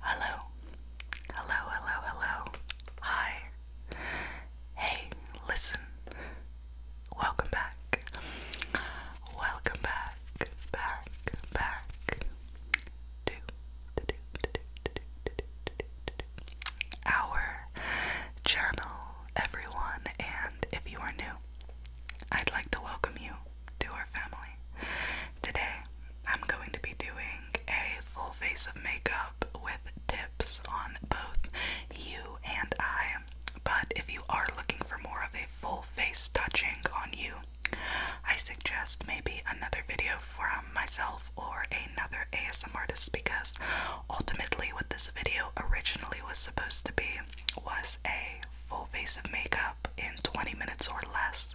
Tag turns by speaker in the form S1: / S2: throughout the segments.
S1: Hello. Hello, hello, hello. Hi. Hey, listen. Welcome back. Welcome back. Back, back. Do, do, do, do, do, do, do, do, do. Our journal, everyone, and if you are new, I'd like to welcome you to our family. Today, I'm going to be doing a full face of makeup with tips on both you and I. But if you are looking for more of a full face touching on you, I suggest maybe another video from myself or another ASM artist because ultimately, what this video originally was supposed to be was a full face of makeup in 20 minutes or less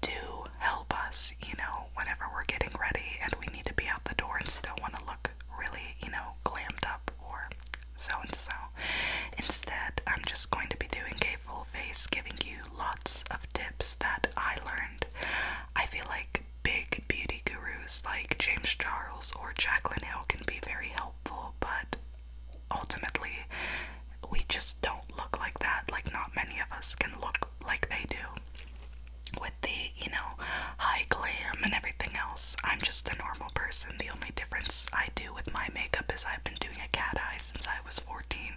S1: to help us, you know, whenever we're getting ready and we need to be out the door and still want to look really, you know, glammed up or so and so. Instead, I'm just going to be doing a full face, giving you lots of tips that I learned. I feel like big beauty gurus like James Charles or Jacqueline Hill can be very helpful, but ultimately, we just don't look like that. Like, not many of us can look like they do. With the, you know, high glam and everything else, I'm just a normal person. The only difference I do with my makeup is I've been doing a cat eye since I was 14.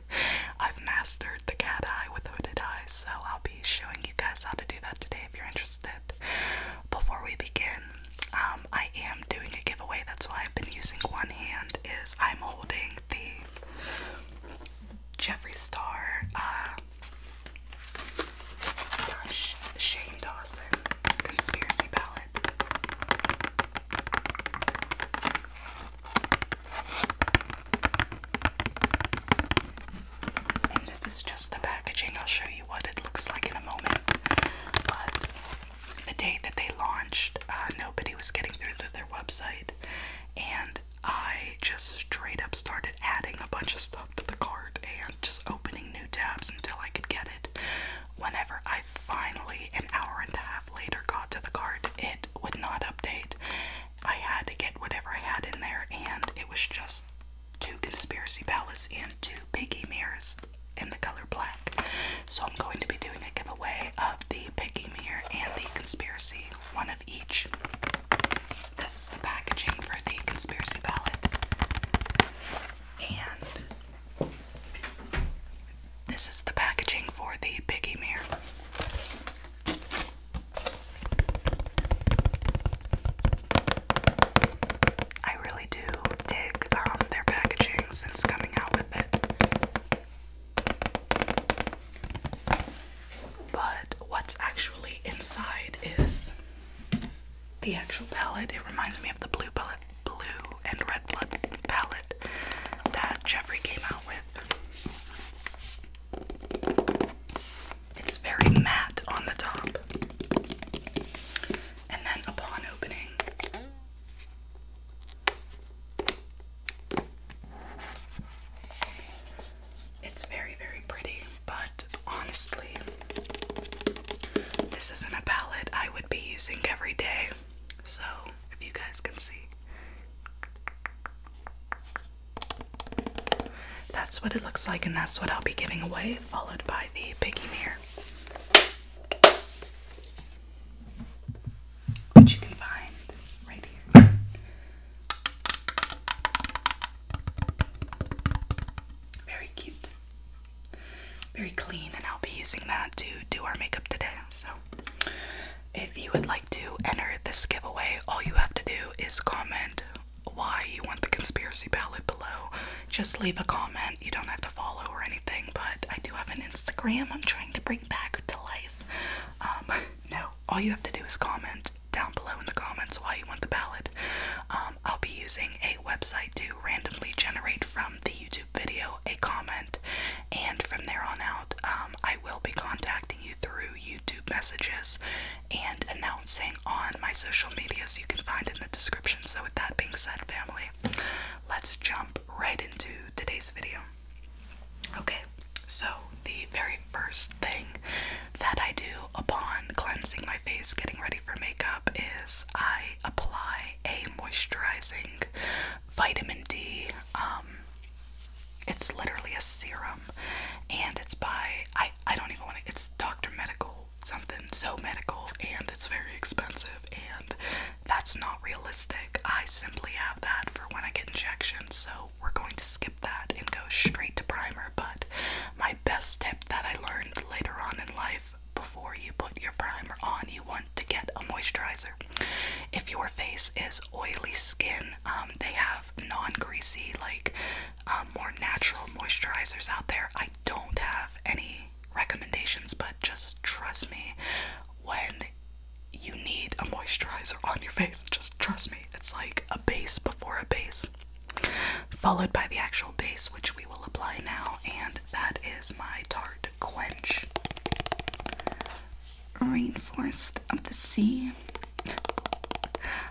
S1: I've mastered the cat eye with hooded eyes, so I'll be showing you guys how to do that today if you're interested. Before we begin, um, I am doing a giveaway. That's why I've been using one hand. Is I'm holding the Jeffree Star, uh, Shane Dawson conspiracy ballot. And this is just the packaging. I'll show you what it looks like in a moment. But the day that they launched, uh, nobody was getting through to their website, and I just straight up started adding a bunch of stuff to the cart and just opening new tabs until I could get it. Whenever I finally, an hour and a half later, got to the cart, it would not update. I had to get whatever I had in there, and it was just two conspiracy pallets and two piggy mirrors in the color black. So I'm going to be doing a giveaway of the Picky Mirror and the Conspiracy, one of each. This is the packaging for the Conspiracy palette. And this is the packaging for the Picky Mirror. I really do dig um, their packaging since coming out with it. But what's actually inside is the actual palette. It reminds me of the blue palette, blue and red blood palette that Jeffrey came out with. It's very matte on the top. And then upon opening, it's very, very pretty, but honestly, this isn't a palette I would be using every day. So, if you guys can see, that's what it looks like, and that's what I'll be giving away, followed by the piggy mirror which you can find right here. Very cute. Very clean, and I'll be using that to do our makeup today. So, if you would like to enter this giveaway, all you have to do is comment why you want the conspiracy palette below. Just leave a comment you don't have to follow or anything, but I do have an Instagram I'm trying to bring back to life. Um, no, all you have to do is comment down below in the comments why you want the palette. Um, I'll be using a website to randomly generate from the YouTube video a comment, and from there on out, um, I will be contacting you through YouTube messages and announcing on my social medias you can find in the description. So, with that being said, family, let's jump right into today's video. Okay, so the very first thing that I do upon cleansing my face, getting ready for makeup, is I apply a moisturizing vitamin D. Um, it's literally a serum, and it's by I I don't even want to. It's Doctor Medical something so medical, and it's very expensive, and that's not realistic. I simply have that for when I get injections, so we're going to skip that and go straight to primer. But my best tip that I learned later on in life before you put your primer on, you want to get a moisturizer. If your face is oily skin, um, they have non greasy, like um, more natural moisturizers out there. I don't have any recommendations, but just trust me when you need a moisturizer on your face. Just trust me. It's like a base before a base, followed by the actual base, which we will apply now, and that is my Tarte Quench Rainforest of the Sea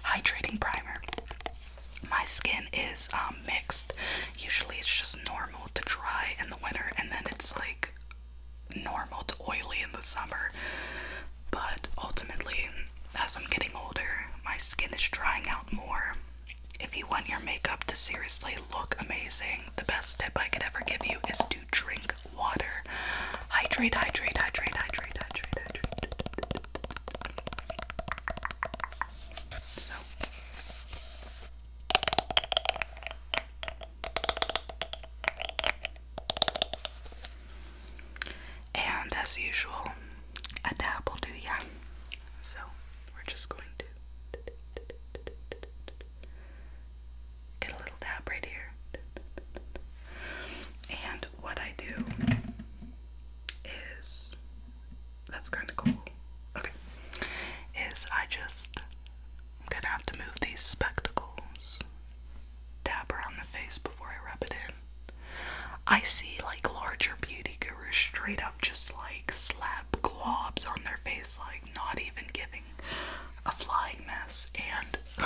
S1: Hydrating Primer. My skin is um, mixed. Usually it's just normal to dry in the winter, and then it's like normal to oily in the summer, but ultimately, as I'm getting older, my skin is drying out more. If you want your makeup to seriously look amazing, the best tip I could ever give you is to drink water. Hydrate, hydrate, hydrate, hydrate, hydrate, hydrate. So. And as usual, a dab will do ya. So we're just going to get a little dab right here. And what I do is that's kind of cool. Okay. Is I just gonna have to move these spectacles. Dab around the face before I rub it in. I see like larger beauty gurus straight up just like slap globs on their face, like not even giving a flying mess. And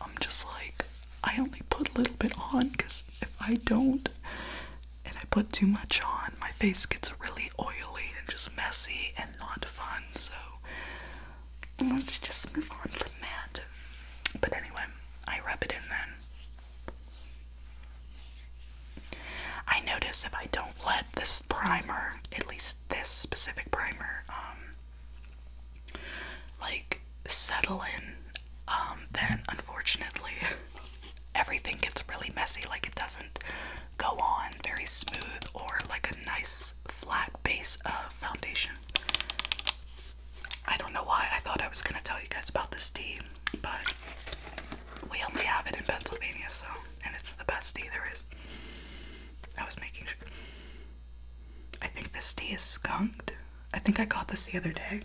S1: I'm just like, I only put a little bit on because if I don't and I put too much on, my face gets really oily and just messy and not fun, so let's just move on from that. But anyway, I rub it in then. I notice if I don't let this primer, at least this specific primer, um, like settle in, um, then unfortunately everything gets really messy. Like it doesn't go on very smooth or like a nice flat base of foundation. I don't know why I thought I was gonna tell you guys about this tea, but we only have it in Pennsylvania, so and it's the best tea there is. I was making sure. I think this tea is skunked. I think I got this the other day.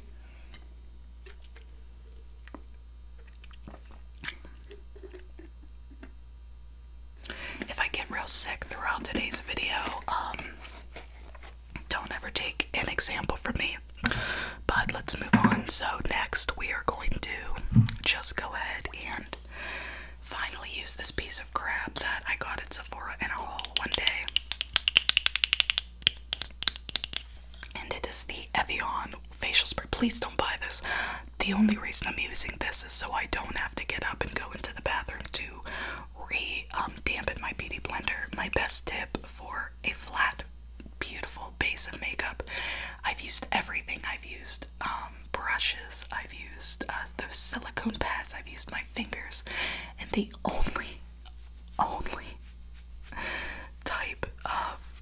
S1: If I get real sick throughout today's video, um, don't ever take an example from me. But let's move on. So, next we are going to just go ahead and finally use this piece of crap that I got at Sephora in a haul one day. And it is the Evian facial spray. Please don't buy this. The only reason I'm using this is so I don't have to get up and go into the bathroom to re dampen my beauty blender. My best tip for a flat, beautiful base of makeup. I've used everything. I've used um, brushes. I've used uh, those silicone pads. I've used my fingers, and the only, only type of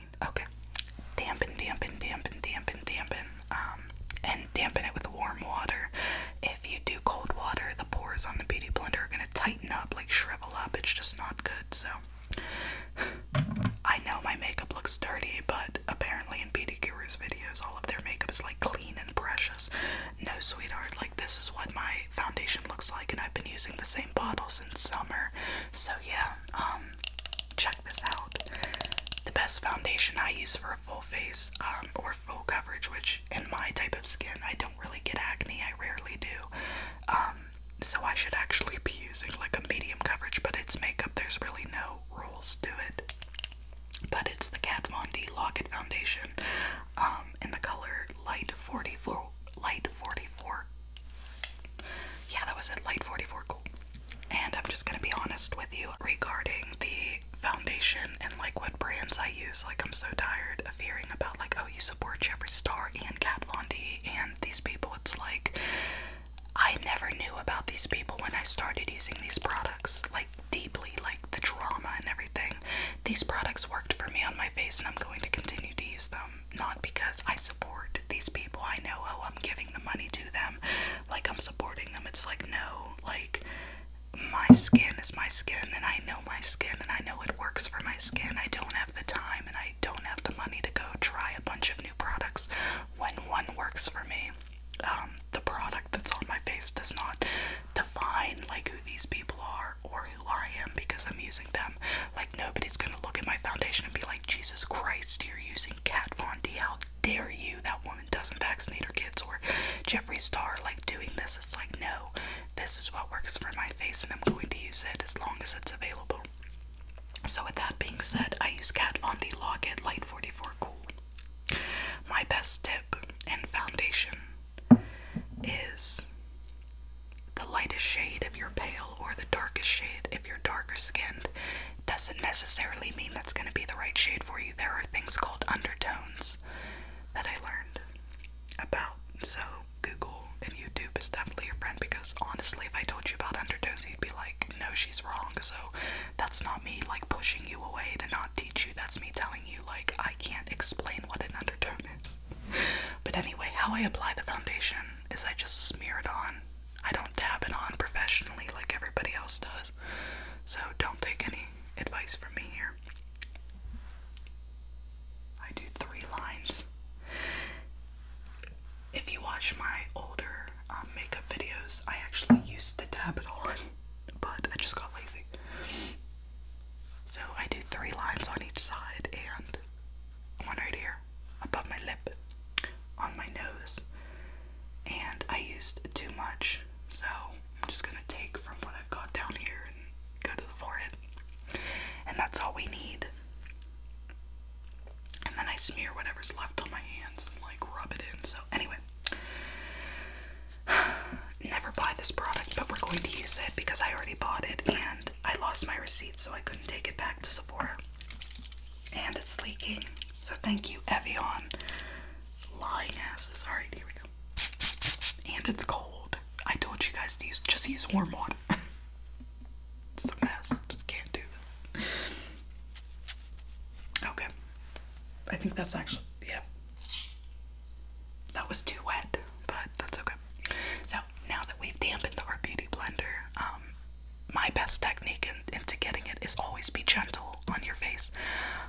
S1: Okay. Dampen, dampen, dampen, dampen, dampen. Um, and dampen it with warm water. If you do cold water, the pores on the beauty blender are gonna tighten up, like shrivel up. It's just not good. So I know my makeup looks dirty, but apparently in Beauty Guru's videos, all of their makeup is like clean and precious. No, sweetheart, like this is what my foundation looks like, and I've been using the same bottles summer. So yeah, um, check this out. The best foundation I use for a full face um, or full coverage, which in my type of skin I don't really get acne, I rarely do. Um, so I should actually be using like a medium coverage, but it's makeup, there's really no rules to it. But it's the Kat Von D Locket Foundation in the color Light 44, Light 44 yeah, that was at Light 44 Cool. And I'm just gonna be honest with you regarding the foundation and like what brands I use. Like, I'm so tired of hearing about, like, oh, you support Jeffree Star and Kat Von D and these people. It's like, I never knew about these people when I started using these products, like, deeply, like the drama and everything. These products worked for me on my face, and I'm going to continue to use them not because I support these people. I know, oh, I'm giving the money to them, like I'm supporting them. It's like, no, like my skin is my skin, and I know my skin, and I know it works for my skin. I don't have the time and I don't have the money to go try a bunch of new products when one works for me. Um, the product that's on my face does not define like who these people are or I am because I'm using them. Like nobody's gonna look at my foundation and be like, Jesus Christ, you're using Kat Von D. How dare you? That woman doesn't vaccinate her kids or Jeffrey Star like doing this. It's like no, this is what works for my face and I'm going to use it as long as it's available. So with that being said, I use Kat Von D Locket Light 44 Cool. My best tip and foundation is the lightest shade if you're pale, or the darkest shade if you're darker skinned, doesn't necessarily mean that's going to be the right shade for you. There are things called undertones that I learned about. So, Google and YouTube is definitely your friend because honestly, if I told you about undertones, you'd be like, no, she's wrong. So, that's not me like pushing you away to not teach you. That's me telling you, like, I can't explain what an undertone is. But anyway, how I apply the foundation is I just smear it on. I don't dab it on professionally like everybody else does. So don't take any advice from me here. I do three lines. If you watch my older um, makeup videos, I actually used to dab it on, but I just got lazy. So I do three lines on each side, and one right here, above my lip, on my nose, and I used too much, so I'm just gonna take from what I've got down here and go to the forehead, and that's all we need. And then I smear whatever's left on my hands and like rub it in. So, anyway, never buy this product, but we're going to use it because I already bought it and I lost my receipt, so I couldn't take it back to Sephora. And it's leaking. So thank you, Evian. Lying asses. Alright, here we go. And it's cold. I told you guys to use just use warm water. it's a mess. Just can't do this. Okay. I think that's actually, yeah. That was too wet, but that's okay. So now that we've dampened our beauty blender, um, my best technique into getting it is always be gentle on your face.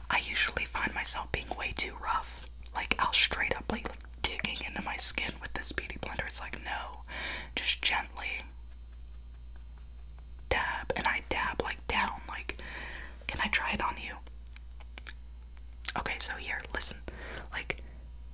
S1: I usually find myself being way too rough. Like I'll straight up like digging into my skin with this beauty blender. It's like no, just gently dab, and I dab like down. Like, can I try it on you? Okay, so here, listen, like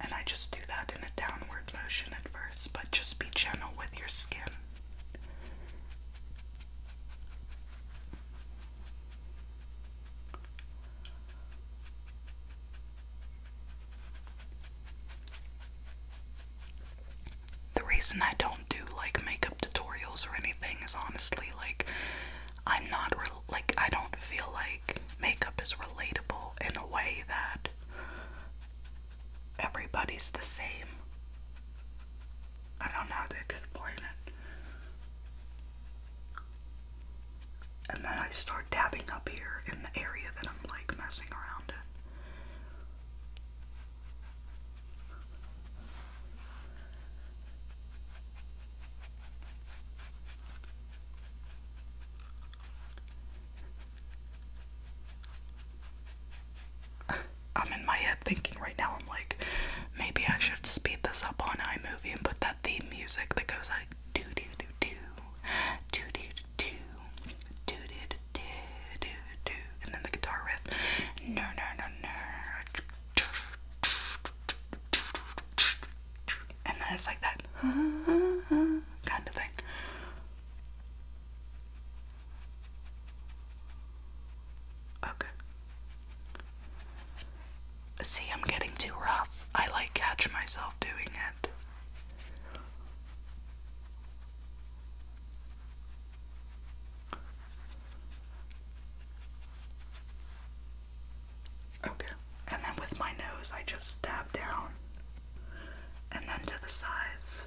S1: and I just do that in a downward motion at first, but just be gentle with your skin. The reason I don't do like makeup tutorials or anything is honestly like I'm not re like I don't feel like makeup is relatable in a way that everybody's the same. I don't know how And then I start dabbing up here in the area that I'm like messing around I'm in my head thinking right now, I'm like, maybe I should speed this up on iMovie and put that theme music that goes like do do do do do do do do do do do do and then the guitar riff. No no no no and then it's like that kind of thing. Okay. See, I'm getting too rough. I like catch myself doing it. Okay. And then with my nose, I just dab down. And then to the sides.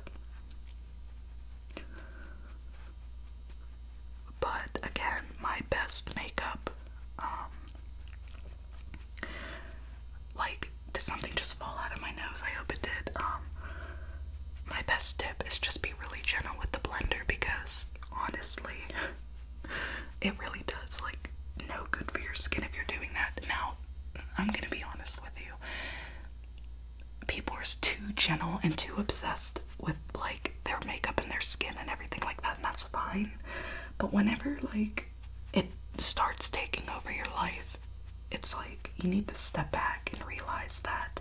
S1: But again, my best makeup, um, like, did something just fall out of my nose? I hope it did. Um, my best tip is just be really gentle with the blender because honestly, it really does like no good for your skin if you're doing that. Now, I'm gonna be honest with you. People are too gentle and too obsessed with like their makeup and their skin and everything like that, and that's fine. But whenever like it starts taking over your life, it's like you need to step back and realize that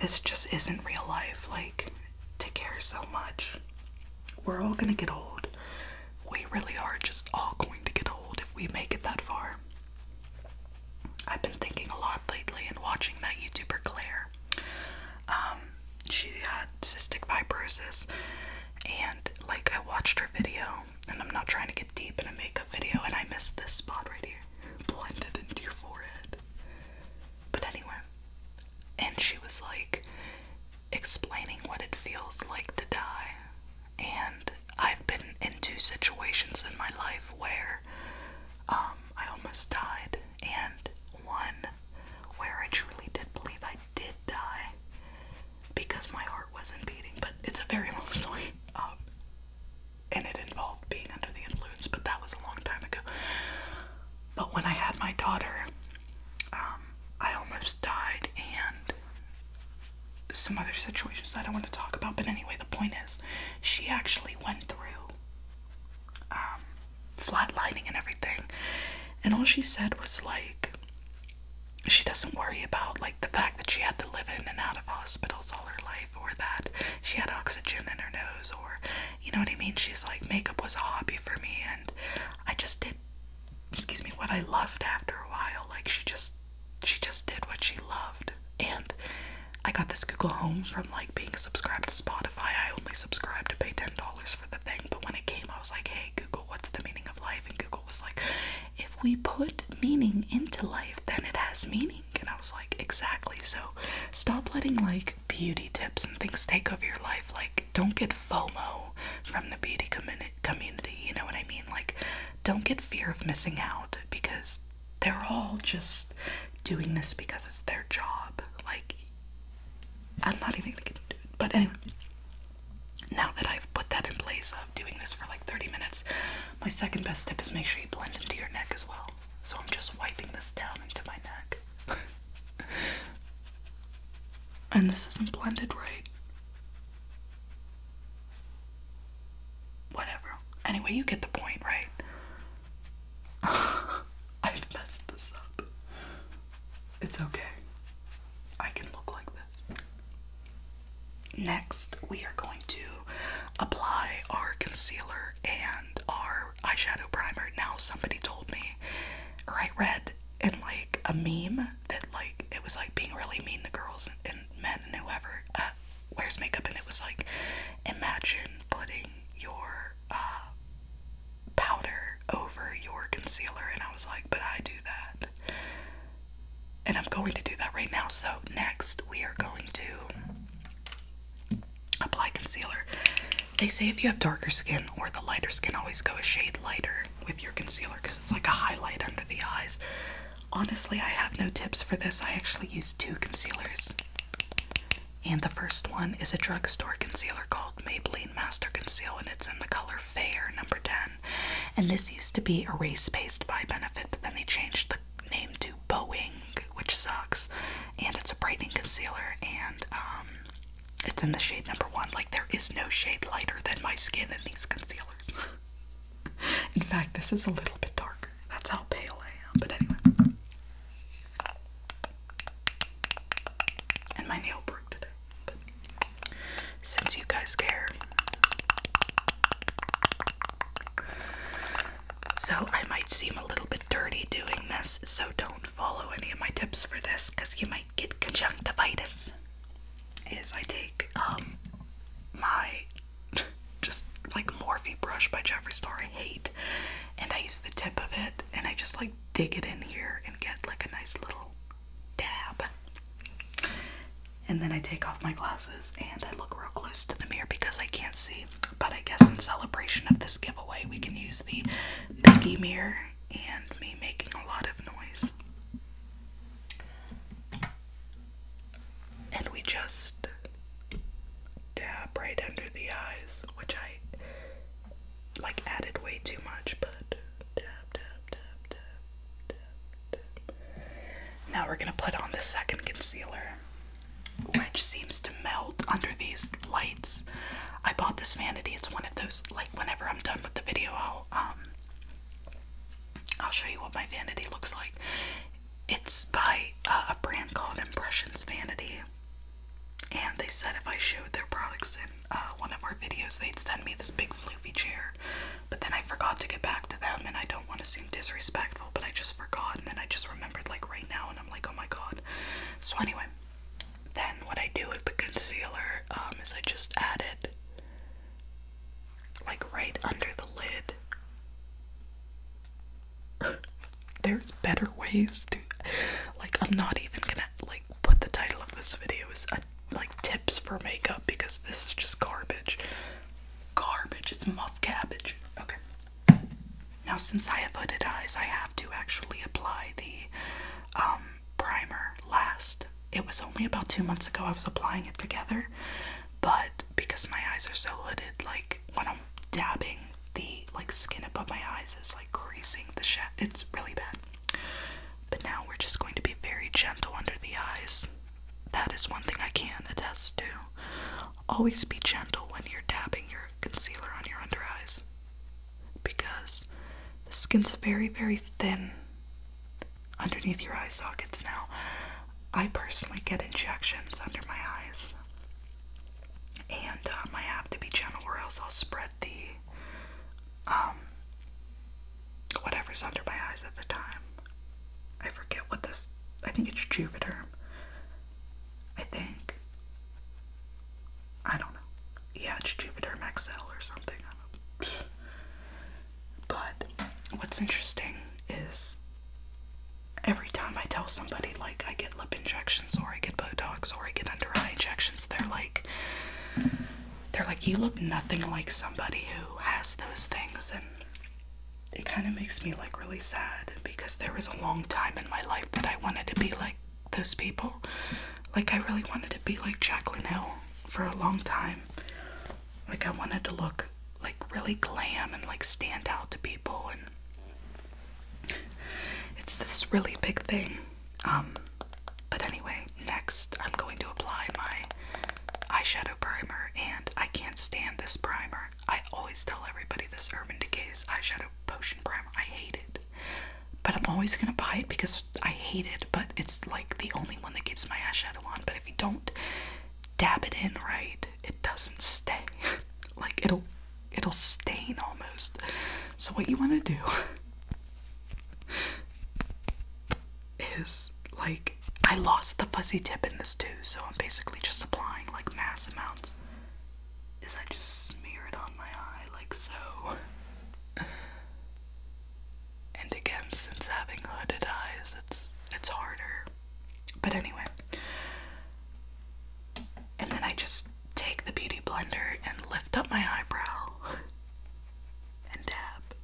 S1: this just isn't real life, like to care so much we're all gonna get old. We really are just all going to get old if we make it that far. I've been thinking a lot lately and watching that YouTuber Claire. Um, she had cystic fibrosis, and like I watched her video, and I'm not trying to get deep in a makeup video, and I missed this spot right here blended into your forehead. But anyway, and she was like, explaining what it feels like to die. And I've been in two situations in my life where um, I almost died, and one where I truly did believe I did die because my heart wasn't beating. But it's a very long story, um, and it involved being under the influence, but that was a long time ago. But when I had my daughter, um, I almost died, and some other situations I don't want to talk about, but anyway, the point is, she actually went through um, flatlining and everything, and all she said was like, she doesn't worry about like the fact that she had to live in and out of hospitals all her life, or that she had oxygen in her nose, or you know what I mean. She's like, makeup was a hobby for me, and I just did excuse me what I loved after a while like she just she just did what she loved and I got this Google Home from like being subscribed to Spotify I only subscribed to pay ten dollars for the thing but when it came I was like hey Google what's the meaning of life and Google was like if we put meaning into life then it has meaning and I was like exactly so stop letting like beauty tips and things take over your life like don't get FOMO from the beauty community community, you know what I mean? Like don't get fear of missing out because they're all just doing this because it's their job. Like I'm not even gonna get into it. But anyway, now that I've put that in place of doing this for like 30 minutes, my second best tip is make sure you blend into your neck as well. So I'm just wiping this down into my neck. And this isn't blended right. Whatever. Anyway, you get the point, right? I've messed this up. It's okay. I can look like this. Next, we are going to apply our concealer and our eyeshadow primer. Now, somebody told me, or I read it in like a meme that like it was like being really mean to girls and, men and whoever uh, wears makeup and it was like imagine putting your uh, powder over your concealer and I was like but I do that and I'm going to do that right now so next we are going to apply concealer they say if you have darker skin or the lighter skin, always go a shade lighter with your concealer because it's like a highlight under the eyes. Honestly, I have no tips for this. I actually use two concealers. And the first one is a drugstore concealer called Maybelline Master Conceal, and it's in the color Fair number 10. And this used to be Erase Paste by Benefit, but then they changed the name to Boeing, which sucks. And it's a brightening concealer, and um, it's in the shade number one. Like, there is no shade lighter than my skin in these concealers. in fact, this is a little bit darker. That's how pale I am. But anyway. And my nail broke today. But since you guys care. So, I might seem a little bit dirty doing this, so don't follow any of my tips for this because you might get conjunctivitis is I take um my just like Morphe brush by Jeffree Star I hate and I use the tip of it and I just like dig it in here and get like a nice little dab. And then I take off my glasses and I look real close to the mirror because I can't see. But I guess in celebration of this giveaway, we can use the Mickey mirror and me making a lot of noise. And we just dab right under the eyes, which I like added way too much, but dab, dab, dab, dab, dab, dab. Now we're gonna put on the second concealer, which seems to melt under these light I bought this vanity. It's one of those like whenever I'm done with the video, I'll um I'll show you what my vanity looks like. It's by uh, a brand called Impressions Vanity. And they said if I showed their products in uh, one of our videos, they'd send me this big floofy chair. But then I forgot to get back to them, and I don't want to seem disrespectful, but I just forgot. And then I just remembered, like, right now, and I'm like, oh my god. So, anyway, then what I do with the concealer um, is I just add it like right under the lid. There's better ways to like I'm not even gonna like put the title of this video as a, uh, like tips for makeup because this is just garbage. Garbage, it's muff cabbage. Okay. Now since I have hooded eyes, I have to actually apply the um, primer last. It was only about two months ago I was applying it together, but because my eyes are so hooded, like when I'm dabbing, the like skin above my eyes is like creasing the shit. It's really bad. But now we're just going to be very gentle under the eyes. That is one thing I can attest to. Always be gentle when you're dabbing your concealer on your under eyes because the skin's very, very thin underneath your eye sockets now. I personally get injections under my eyes, and um, I have to be gentle, or else I'll spread the um whatever's under my eyes at the time. I forget what this. I think it's Juvederm. I think. I don't know yeah, it's Juvederm Maxell or something. But what's interesting is every time I tell somebody like I get lip injections or I get Botox or I get under eye injections, they're like they're like you look nothing like somebody who has those things and it kind of makes me like really sad because there was a long time in my life that I wanted to be like those people. Like, I really wanted to be like Jacqueline Hill for a long time. Like, I wanted to look like really glam and like stand out to people, and it's this really big thing. Um, but anyway, next I'm going to apply my eyeshadow primer, and I can't stand this primer. I always tell everybody this Urban Decay's eyeshadow potion primer. I hate it but I'm always gonna buy it because I hate it, but it's like the only one that keeps my eyeshadow on. But if you don't dab it in right, it doesn't stay. like it'll it'll stain almost. So what you wanna do is like I lost the fuzzy tip in this too, so I'm basically just applying like mass amounts. Is I just smear it on my eye like so. And again, since having hooded eyes, it's it's harder. But anyway. And then I just take the beauty blender and lift up my eyebrow and dab.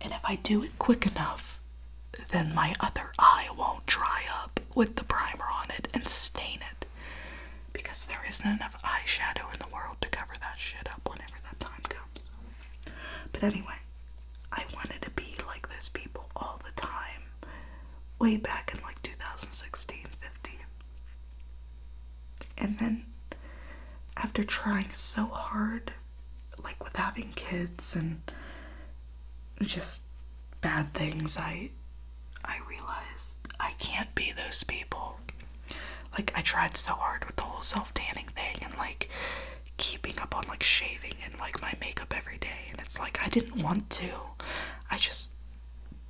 S1: And if I do it quick enough, then my other eye won't dry up with the primer on it and stain it because there isn't enough eyeshadow in the world to cover that shit up whenever that time comes. But anyway, I wanted to be like those people all the time way back in like 2016 15. And then after trying so hard, like with having kids and just bad things I I realized I can't be those people. Like I tried so hard with the whole self tanning thing and like keeping up on like shaving and like my makeup every day and it's like I didn't want to. I just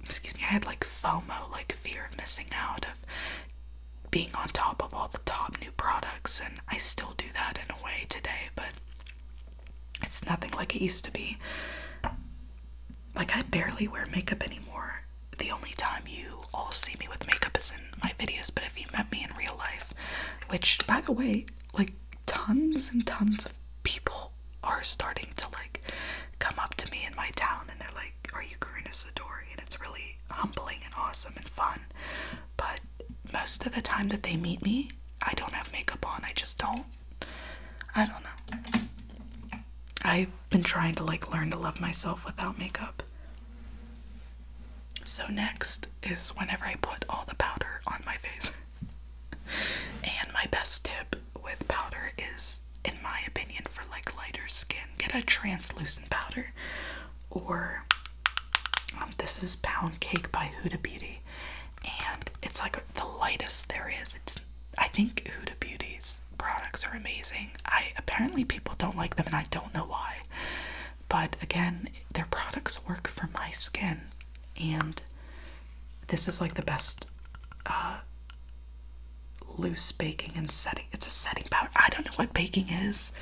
S1: excuse me, I had like FOMO, like fear of missing out of being on top of all the top new products and I still do that in a way today, but it's nothing like it used to be like I barely wear makeup anymore. The only time you all see me with makeup is in my videos, but if you met me in real life, which by the way, like tons and tons of people are starting to like come up to me in my town and they're like, Are you Karina Sidori? And it's really humbling and awesome and fun. But most of the time that they meet me, I don't have makeup on. I just don't. I don't know. I've been trying to like learn to love myself without makeup. So, next is whenever I put all the powder on my face. and my best tip with powder is, in my opinion, for like lighter skin, get a translucent powder. Or, um, this is Pound Cake by Huda Beauty and it's like the lightest there is. It's I think Huda Beauty's products are amazing. I apparently people don't like them and I don't know why. But again, their products work for my skin and this is like the best uh, loose baking and setting. It's a setting powder. I don't know what baking is.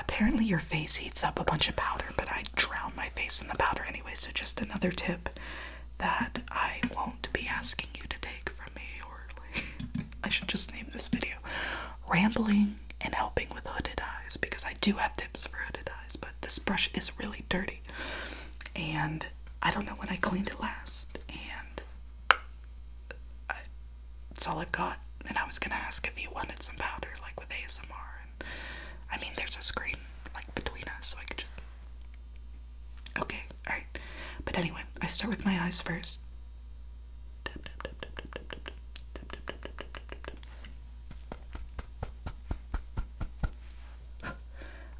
S1: Apparently your face heats up a bunch of powder, but I drown my face in the powder anyway, so just another tip that I won't be asking you to take from me, or I should just name this video Rambling and Helping with Hooded Eyes because I do have tips for hooded eyes, but this brush is really dirty and I don't know when I cleaned it last, and I, that's all I've got. And I was gonna ask if you wanted some powder, like with ASMR. I mean, there's a screen like between us, so I could just Okay, alright. But anyway, I start with my eyes first.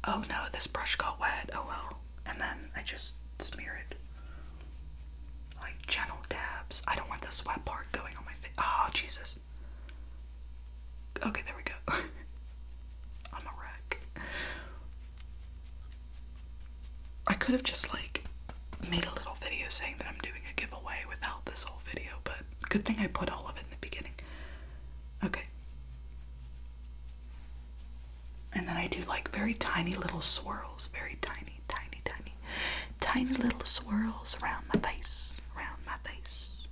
S1: Oh no, this brush got wet. Oh well. And then I just smear it. Like gentle dabs. I don't want the sweat part going on my face. Oh, Jesus. Okay, there we go. I'm a wreck. I could have just like made a little video saying that I'm doing a giveaway without this whole video, but good thing I put all of it in the beginning. Okay. And then I do like very tiny little swirls, very tiny, tiny, tiny, tiny little swirls around my face, around my face.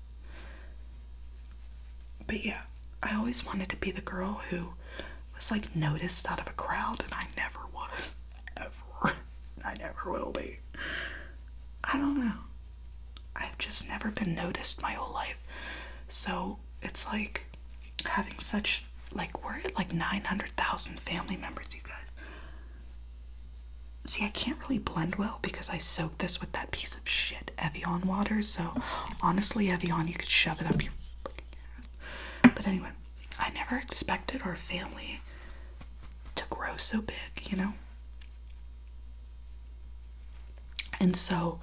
S1: But yeah, I always wanted to be the girl who was like noticed out of a crowd, and I never was. Ever. I never will be. I don't know. I've just never been noticed my whole life. So it's like having such, like, we're at like 900,000 family members, you guys. See, I can't really blend well because I so this with that piece of shit Evian water. So honestly, Evian, you could shove it up your fucking ass. But anyway, I never expected our family to grow so big, you know? And so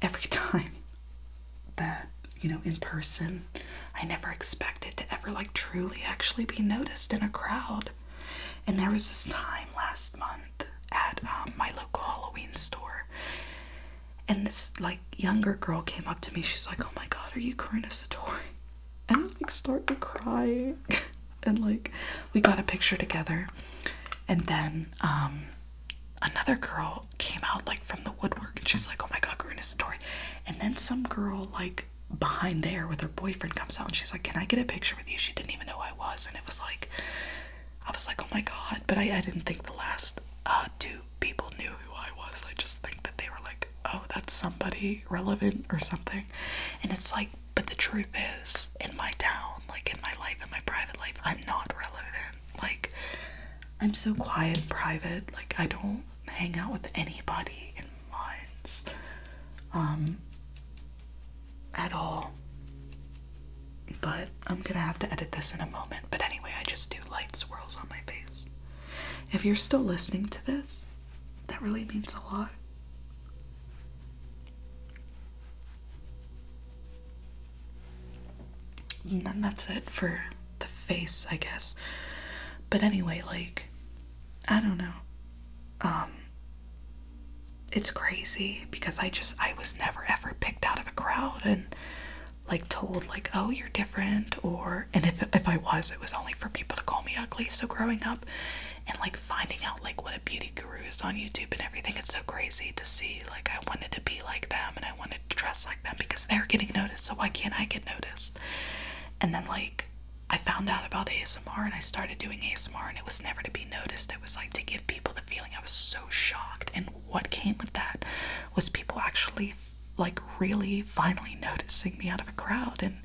S1: every time that, you know, in person, I never expected to ever like truly actually be noticed in a crowd. And there was this time last month at um, my local Halloween store and this like younger girl came up to me. She's like, "Oh my God, are you Karina Satori?" And I like started crying. and like we got a picture together. And then um, another girl came out like from the woodwork, and she's like, "Oh my God, Karina Satori." And then some girl like behind there with her boyfriend comes out, and she's like, "Can I get a picture with you?" She didn't even know I was, and it was like I was like, oh my god, but I, I didn't think the last uh, two people knew who I was. I just think that they were like, oh, that's somebody relevant or something. And it's like, but the truth is, in my town, like in my life, in my private life, I'm not relevant. Like, I'm so quiet and private. Like, I don't hang out with anybody in mines. Um, at all. But I'm gonna have to edit this in a moment. But anyway, I just do light swirls on my face. If you're still listening to this, that really means a lot. And that's it for the face, I guess. But anyway, like, I don't know. Um, it's crazy because I just I was never ever picked out of a crowd and like told like oh you're different or and if if I was it was only for people to call me ugly so growing up and like finding out like what a beauty guru is on YouTube and everything it's so crazy to see like I wanted to be like them and I wanted to dress like them because they're getting noticed so why can't I get noticed and then like I found out about ASMR and I started doing ASMR and it was never to be noticed it was like to give people the feeling I was so shocked. And what came with that was people actually, like, really finally noticing me out of a crowd. And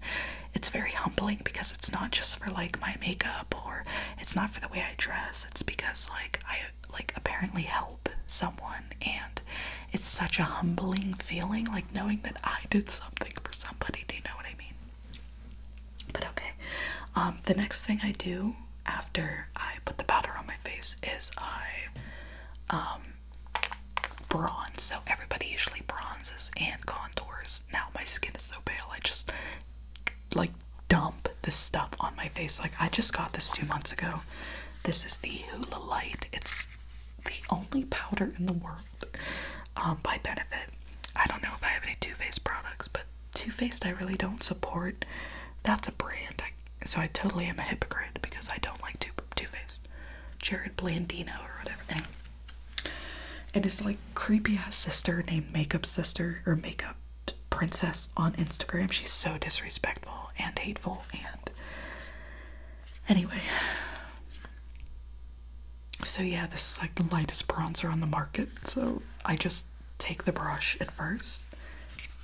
S1: it's very humbling because it's not just for, like, my makeup or it's not for the way I dress. It's because, like, I, like, apparently help someone. And it's such a humbling feeling, like, knowing that I did something for somebody. Do you know what I mean? But okay. Um, the next thing I do after I put the powder on my face is I um, bronze. So everybody usually bronzes and contours. Now my skin is so pale, I just like dump this stuff on my face. Like I just got this two months ago. This is the Hoola Light. It's the only powder in the world um, by Benefit. I don't know if I have any Too Faced products, but too Faced I really don't support. That's a brand. I, so I totally am a hypocrite because I don't like Too, Too Faced. Jared Blandino or whatever. Anyway. And his like creepy ass sister named Makeup Sister or Makeup Princess on Instagram. She's so disrespectful and hateful and anyway. So yeah, this is like the lightest bronzer on the market. So I just take the brush at first,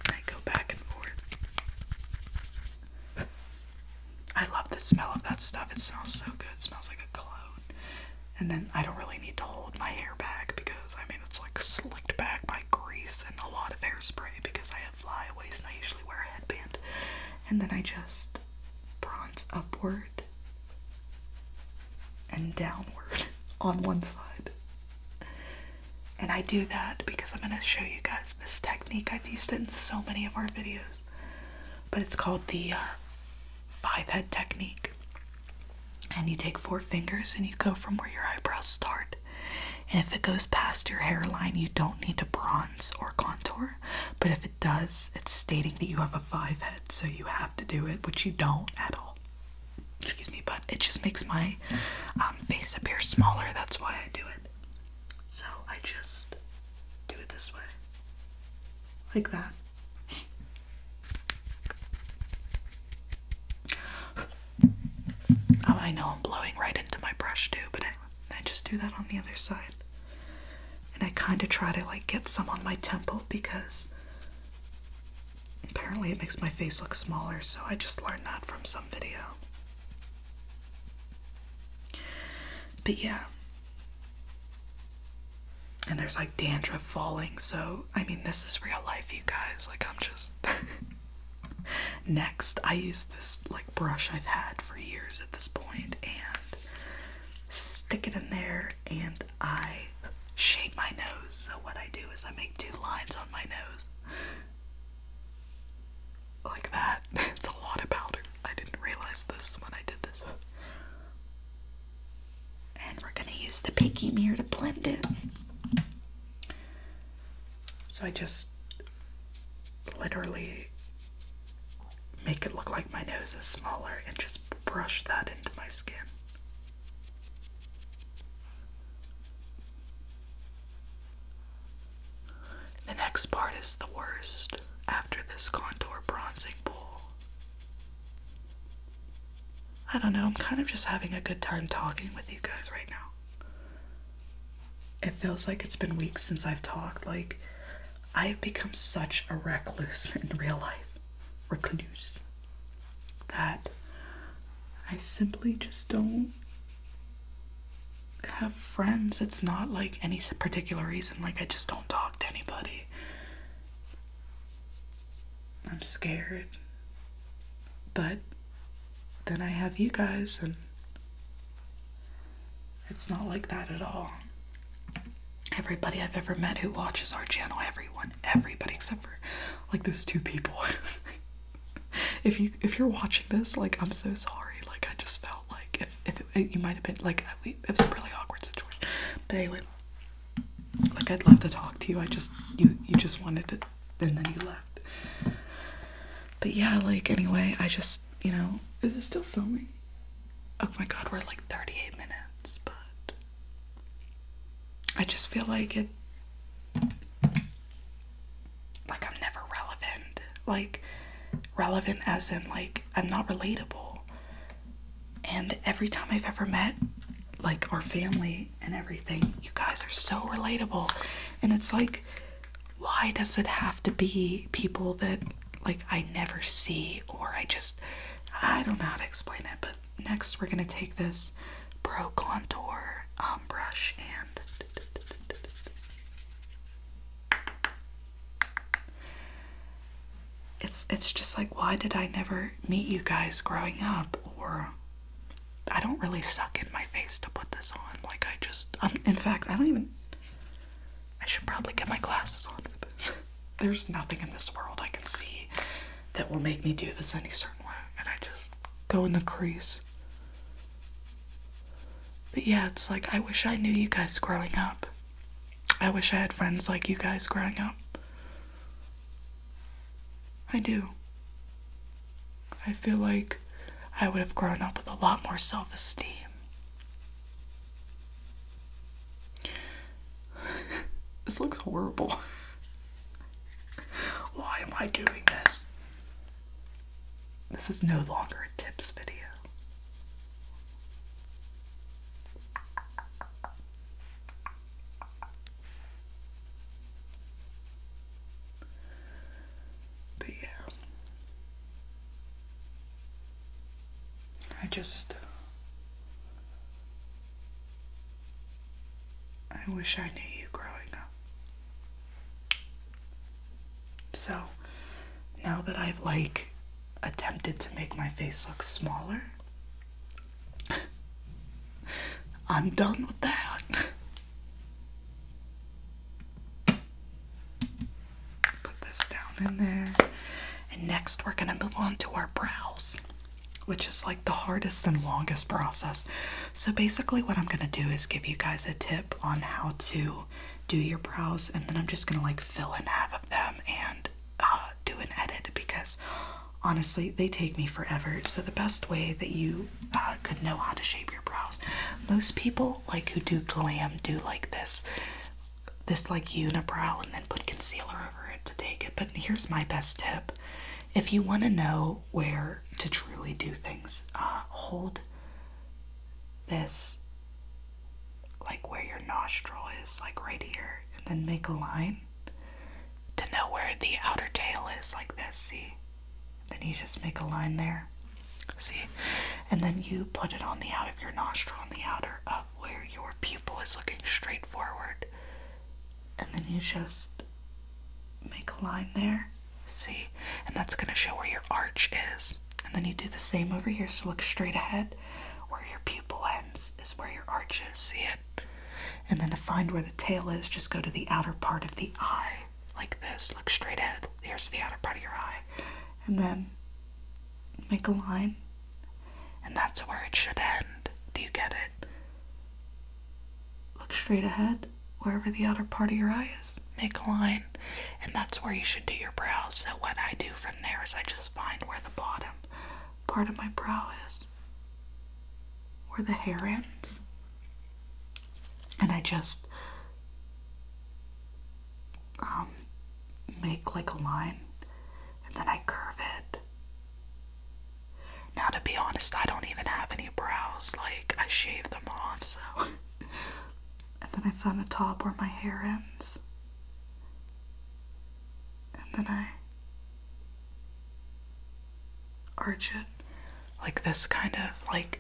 S1: and go back and forth. I love the smell of that stuff. It smells so good. smells like a cologne. And then I don't really need to hold my hair back because I mean it's like slicked back by grease and a lot of hairspray because I have flyaways and I usually wear a headband. And then I just bronze upward and downward on one side. And I do that because I'm going to show you guys this technique. I've used it in so many of our videos, but it's called the uh, five head technique. And you take four fingers and you go from where your eyebrows start. And if it goes past your hairline, you don't need to bronze or contour. But if it does, it's stating that you have a five head, so you have to do it, which you don't at all excuse me, but it just makes my um, face appear smaller. That's why I do it. So I just do it this way, like that. Oh, I know I'm blowing right into my brush too, but I just do that on the other side. And I kind of try to like get some on my temple because Apparently, it makes my face look smaller, so I just learned that from some video. But yeah. And there's like dandruff falling, so I mean, this is real life, you guys. Like, I'm just. Next, I use this like brush I've had for years at this point and stick it in there and I shape my nose. So what I do is I make two lines on my nose. Like that. It's a lot of powder. I didn't realize this when I did this. And we're gonna use the pinky mirror to blend it. So I just literally make it look like my nose is smaller and just brush that into my skin. The next part is the worst after this contour bronzing pool. I don't know, I'm kind of just having a good time talking with you guys right now. It feels like it's been weeks since I've talked. Like, I've become such a recluse in real life recluse that I simply just don't have friends. It's not like any particular reason, like, I just don't talk to anybody. I'm scared. But then I have you guys, and it's not like that at all. Everybody I've ever met who watches our channel, everyone everybody except for like those two people. if you if you're watching this, like I'm so sorry. Like I just felt like if if you might have been like it was a really awkward situation. But anyway, like I'd love to talk to you. I just you you just wanted to and then you left. But yeah, like anyway, I just you know is it still filming? Oh my god, we're like 38 minutes, but I just feel like it like I'm never relevant. Like relevant as in like I'm not relatable. And every time I've ever met like our family and everything, you guys are so relatable. And it's like why does it have to be people that like I never see or I just I don't know how to explain it, but next we're gonna take this Pro Contour um, brush and it's it's just like why did I never meet you guys growing up or I don't really suck in my face to put this on like I just um in fact I don't even I should probably get my glasses on for this. There's nothing in this world I can see that will make me do this any certain way, and I just go in the crease. But yeah, it's like I wish I knew you guys growing up. I wish I had friends like you guys growing up. I do. I feel like I would have grown up with a lot more self esteem. this looks horrible. Why am I doing this? This is no longer a tips video. But yeah. I just I wish I knew you growing up. So, now that I've like attempted to make my face look smaller, I'm done with that. Put this down in there. And next, we're gonna move on to our brows which is like the hardest and longest process. So, basically, what I'm gonna do is give you guys a tip on how to do your brows, and then I'm just gonna like fill in half of them and uh, do an edit because honestly, they take me forever. So, the best way that you uh, could know how to shape your brows, most people like who do glam do like this this like unibrow and then put concealer over it to take it. But here's my best tip if you want to know where to truly do things, uh, hold this like where your nostril is, like right here, and then make a line to know where the outer tail is, like this. See? Then you just make a line there. See? And then you put it on the out of your nostril, on the outer of where your pupil is looking straight forward and then you just make a line there see and that's going to show where your arch is and then you do the same over here so look straight ahead where your pupil ends is where your arch is see it and then to find where the tail is just go to the outer part of the eye like this look straight ahead here's the outer part of your eye and then make a line and that's where it should end do you get it Look straight ahead, wherever the outer part of your eye is. Make a line, and that's where you should do your brow. So, what I do from there is I just find where the bottom part of my brow is, where the hair ends, and I just um, make like a line, and then I curve it now, to be honest, I don't even have any brows, like, I shaved them off, so. and then I found the top where my hair ends. And then I arch it like this kind of like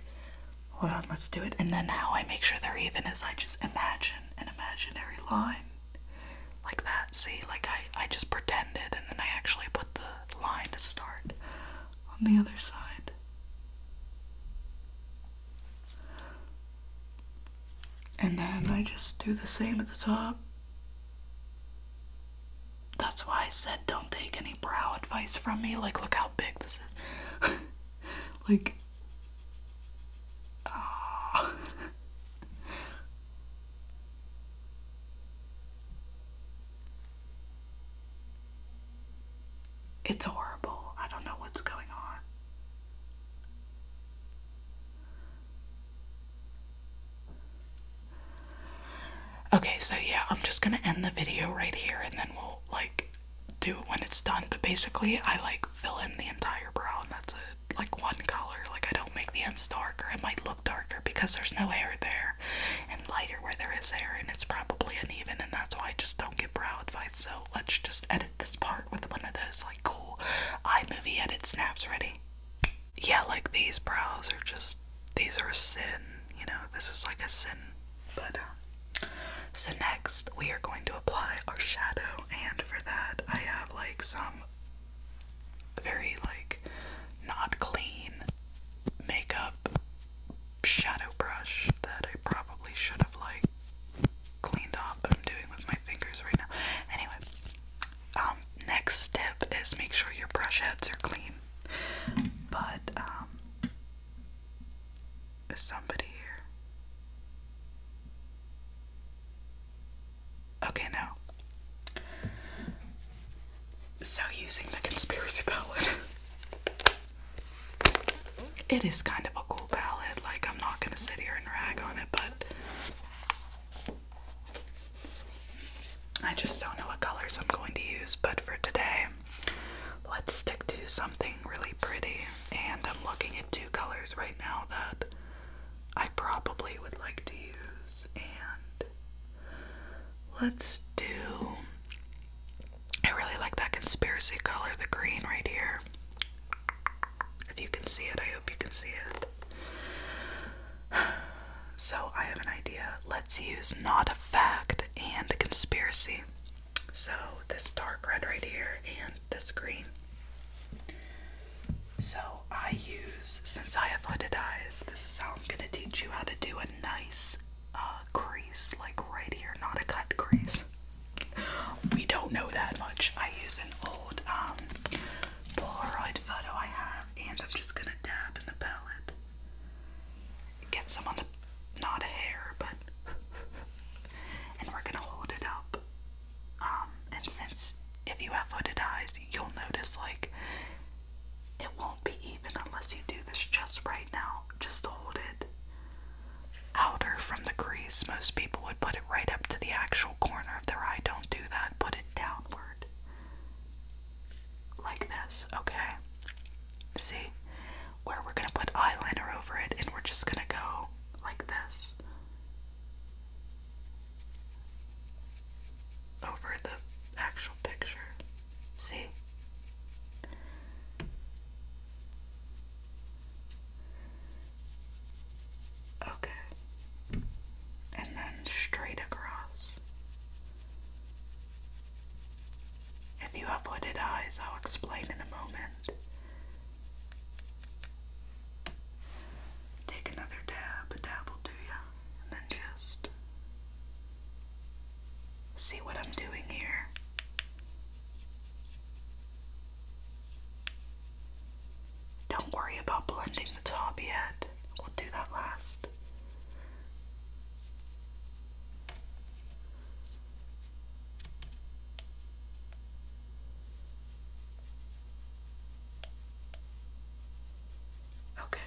S1: hold on let's do it and then how i make sure they're even is i just imagine an imaginary line like that. See, like I, I just pretended and then I actually put the line to start on the other side. And then I just do the same at the top. That's why I said don't take any brow advice from me. Like, look how big this is. like, oh. It's horrible. I don't know what's going on. Okay, so yeah, I'm just gonna end the video right here and then we'll like do it when it's done. But basically, I like fill in the entire brow and that's it. Like one color. Like I don't make the ends darker. it might look darker because there's no hair there and lighter where there is hair and it's probably uneven and that's why I just don't get brow advice. So let's just edit this part with one of those like cool iMovie edited snaps ready. Yeah, like these brows are just these are sin, you know, this is like a sin. But um, so next we are going to apply our shadow and for that I have like some very like not clean makeup shadow brush that I probably should have like cleaned off, but I'm doing with my fingers right now. Anyway, um next step is make sure your brush heads are clean. But um is somebody here? Okay, no. So, using the conspiracy palette, it is kind of a cool palette. Like, I'm not gonna sit here and rag on it, but I just don't know what colors I'm going to use. But for today, let's stick to something really pretty. And I'm looking at two colors right now that I probably would like to use, and Let's do. I really like that conspiracy color, the green right here. If you can see it, I hope you can see it. So, I have an idea. Let's use not a fact and a conspiracy. So, this dark red right here and this green. So, I use, since I have hooded eyes, this is how I'm gonna teach you how to do a nice uh, crease, like right here, not a cut crease. We don't know that much. I use an old um, Polaroid photo I have, and I'm just gonna dab in the palette. Get some on the, not a hair, but, and we're gonna hold it up. Um, and since if you have hooded eyes, you'll notice like it won't be even unless you do this just right now. Just hold it outer from the crease. Most people would put it right up to the actual corner of their eye. Don't do that. Put it downward. Like this, okay? See? Where we're gonna put eyeliner over it and we're just gonna go like this over the actual picture. See? Okay. And then straight across. If you have hooded eyes, I'll explain in a moment. Take another dab, a dab will do ya and then just see what I'm doing here. Don't worry about blending the top yet. We'll do that last. Okay.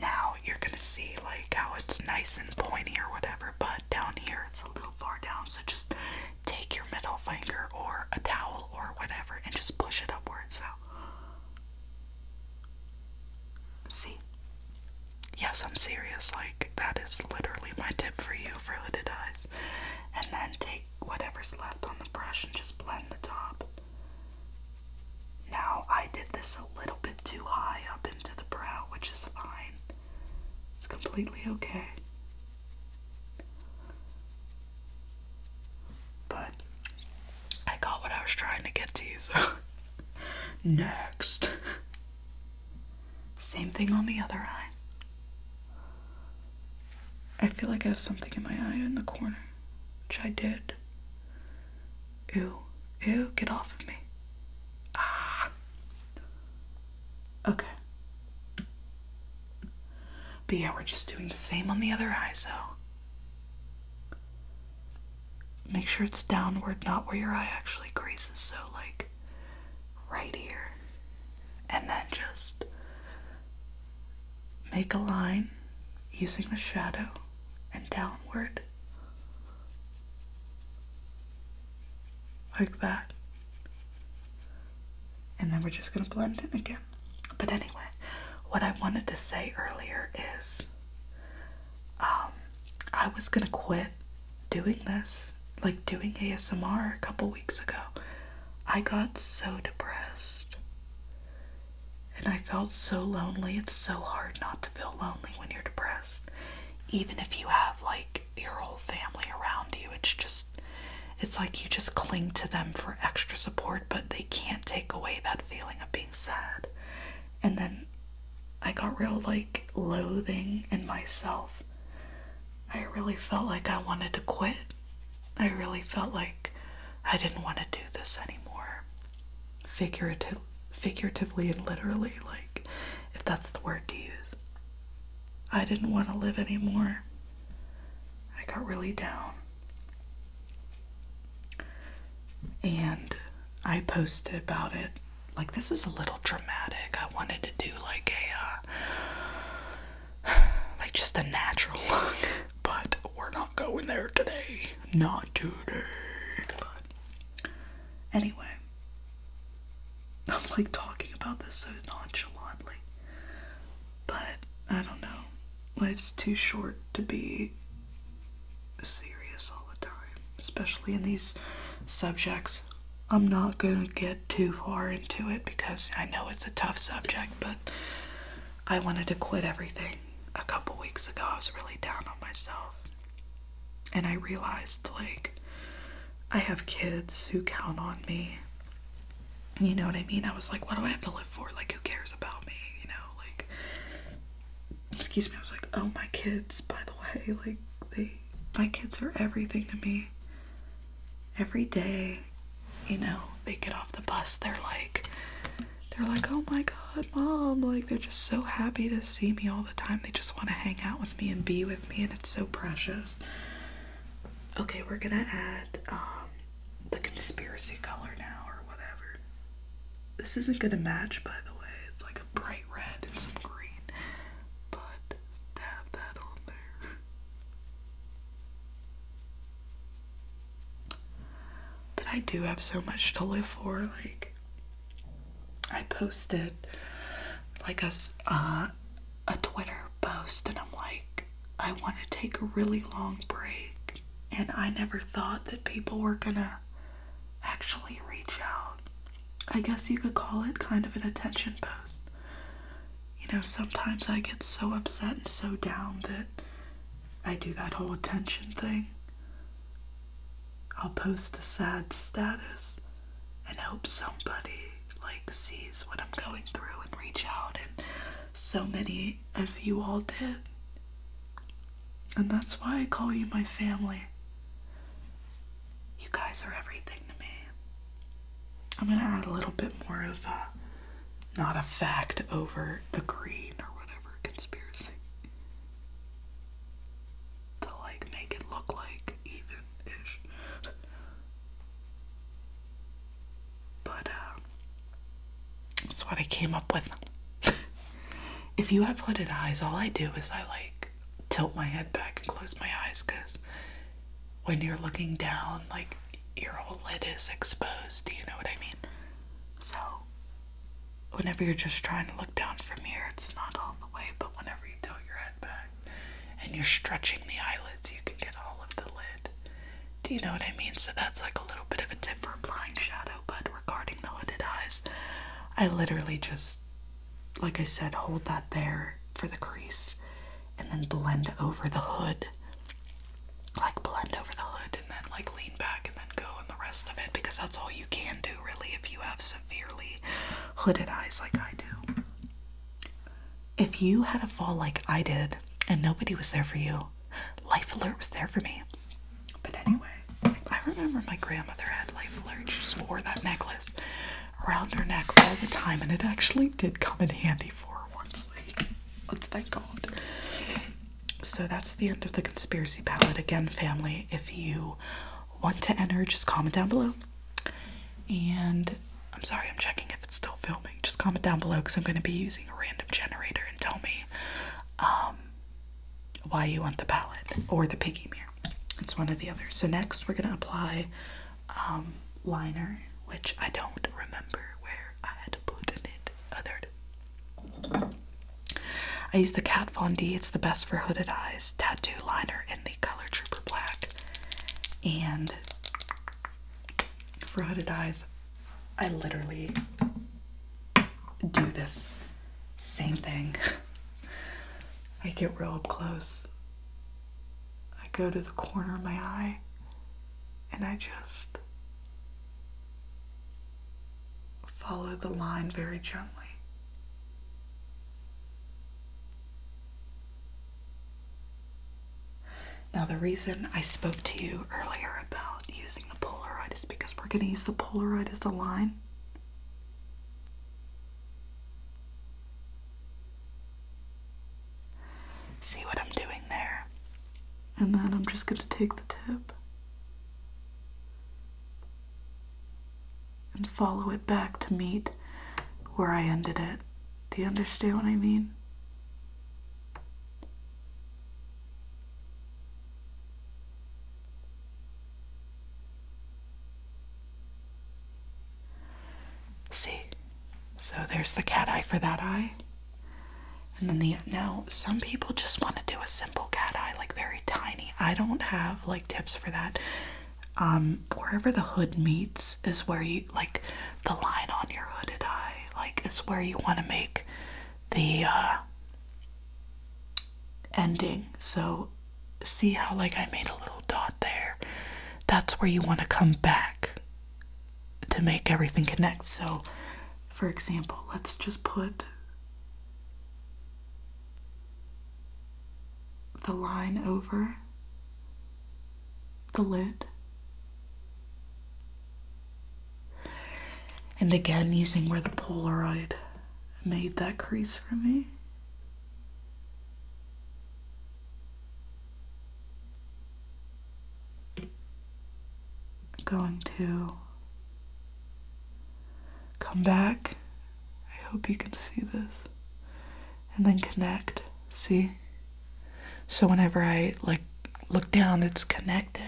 S1: Now you're gonna see like how it's nice and pointy or whatever, but down here it's a little far down, so just take your middle finger or a towel or whatever and just push it upwards. So see? Yes, I'm serious, like that is literally my tip for you for hooded eyes. And then take whatever's left on the brush and just blend the top. Now I did this a little bit too high up into the brow, which is fine. It's completely okay. But I got what I was trying to get to, so next. Same thing on the other eye. I feel like I have something in my eye in the corner, which I did. Ew, ew, get off of me. Ah. Okay. But yeah, we're just doing the same on the other eye, so. Make sure it's downward, not where your eye actually creases, so like right here. And then just Make a line using the shadow and downward. Like that. And then we're just going to blend in again. But anyway, what I wanted to say earlier is um, I was going to quit doing this, like doing ASMR a couple weeks ago. I got so depressed. And I felt so lonely. It's so hard not to feel lonely when you're depressed. Even if you have like your whole family around you, it's just, it's like you just cling to them for extra support, but they can't take away that feeling of being sad. And then I got real like loathing in myself. I really felt like I wanted to quit I really felt like I didn't want to do this anymore. Figurative, figuratively and literally, like, if that's the word to use. I didn't want to live anymore. I got really down. And I posted about it. Like, this is a little dramatic. I wanted to do, like, a, uh, like just a natural look. But we're not going there today. Not today. But anyway, I'm like talking about this so nonchalantly. But I don't know. Life's too short to be serious all the time, especially in these subjects. I'm not gonna get too far into it because I know it's a tough subject, but I wanted to quit everything a couple weeks ago. I was really down on myself. And I realized, like, I have kids who count on me. You know what I mean? I was like, what do I have to live for? Like, who cares about me? You know, like, excuse me. I was like, oh, my kids, by the way, like, they, my kids are everything to me. Every day, you know, they get off the bus, they're like they're like, "Oh my god, mom." Like they're just so happy to see me all the time. They just want to hang out with me and be with me, and it's so precious. Okay, we're going to add um the conspiracy color now or whatever. This isn't going to match, by the way. It's like a bright red and some green. But dab that on there. But I do have so much to live for. Like, I posted like a, uh, a Twitter post, and I'm like, I want to take a really long break. And I never thought that people were gonna actually reach out. I guess you could call it kind of an attention post. You know, sometimes I get so upset and so down that I do that whole attention thing. I'll post a sad status and hope somebody like sees what I'm going through and reach out and so many of you all did. And that's why I call you my family. You guys are everything to me. I'm gonna add a little bit more of not a fact over the green or whatever conspiracy. To like make it look like even ish. But uh, that's what I came up with. if you have hooded eyes, all I do is I like tilt my head back and close my eyes because when you're looking down, like your whole lid is exposed. Do you know what I mean? So, whenever you're just trying to look down from here, it's not all the way, but whenever you tilt your head back and you're stretching the eyelids, you can get all of the lid. Do you know what I mean? So, that's like a little bit of a tip for blind shadow, but regarding the hooded eyes, I literally just, like I said, hold that there for the crease and then blend over the hood like blend over the hood and then like lean back and then go and the rest of it because that's all you can do really if you have severely hooded eyes like I do. If you had a fall like I did and nobody was there for you, Life Alert was there for me. But anyway, I remember my grandmother had Life Alert. She just wore that necklace around her neck all the time and it actually did come in handy for her once. Like, let's thank God so that's the end of the conspiracy palette. Again, family, if you want to enter, just comment down below. And I'm sorry, I'm checking if it's still filming. Just comment down below because I'm going to be using a random generator and tell me um, why you want the palette or the piggy mirror. It's one or the other. So, next, we're going to apply um, liner, which I don't remember where I had to put in it othered. I use the Kat Von D. It's the best for hooded eyes. Tattoo liner in the color Trooper Black. And for hooded eyes, I literally do this same thing. I get real up close. I go to the corner of my eye and I just Follow the line very gently. Now, the reason I spoke to you earlier about using the Polaroid is because we're going to use the Polaroid as the line. See what I'm doing there? and then I'm just going to take the tip and follow it back to meet where I ended it. Do you understand what I mean? See? So there's the cat eye for that eye. And then the now some people just want to do a simple cat eye, like very tiny. I don't have like tips for that. Um, wherever the hood meets is where you like the line on your hooded eye, like is where you want to make the uh, ending. So see how like I made a little dot there. That's where you want to come back to make everything connect. So, for example, let's just put the line over the lid. And again, using where the Polaroid made that crease for me going to come back. I hope you can see this. And then connect. See? So whenever I like look down, it's connected.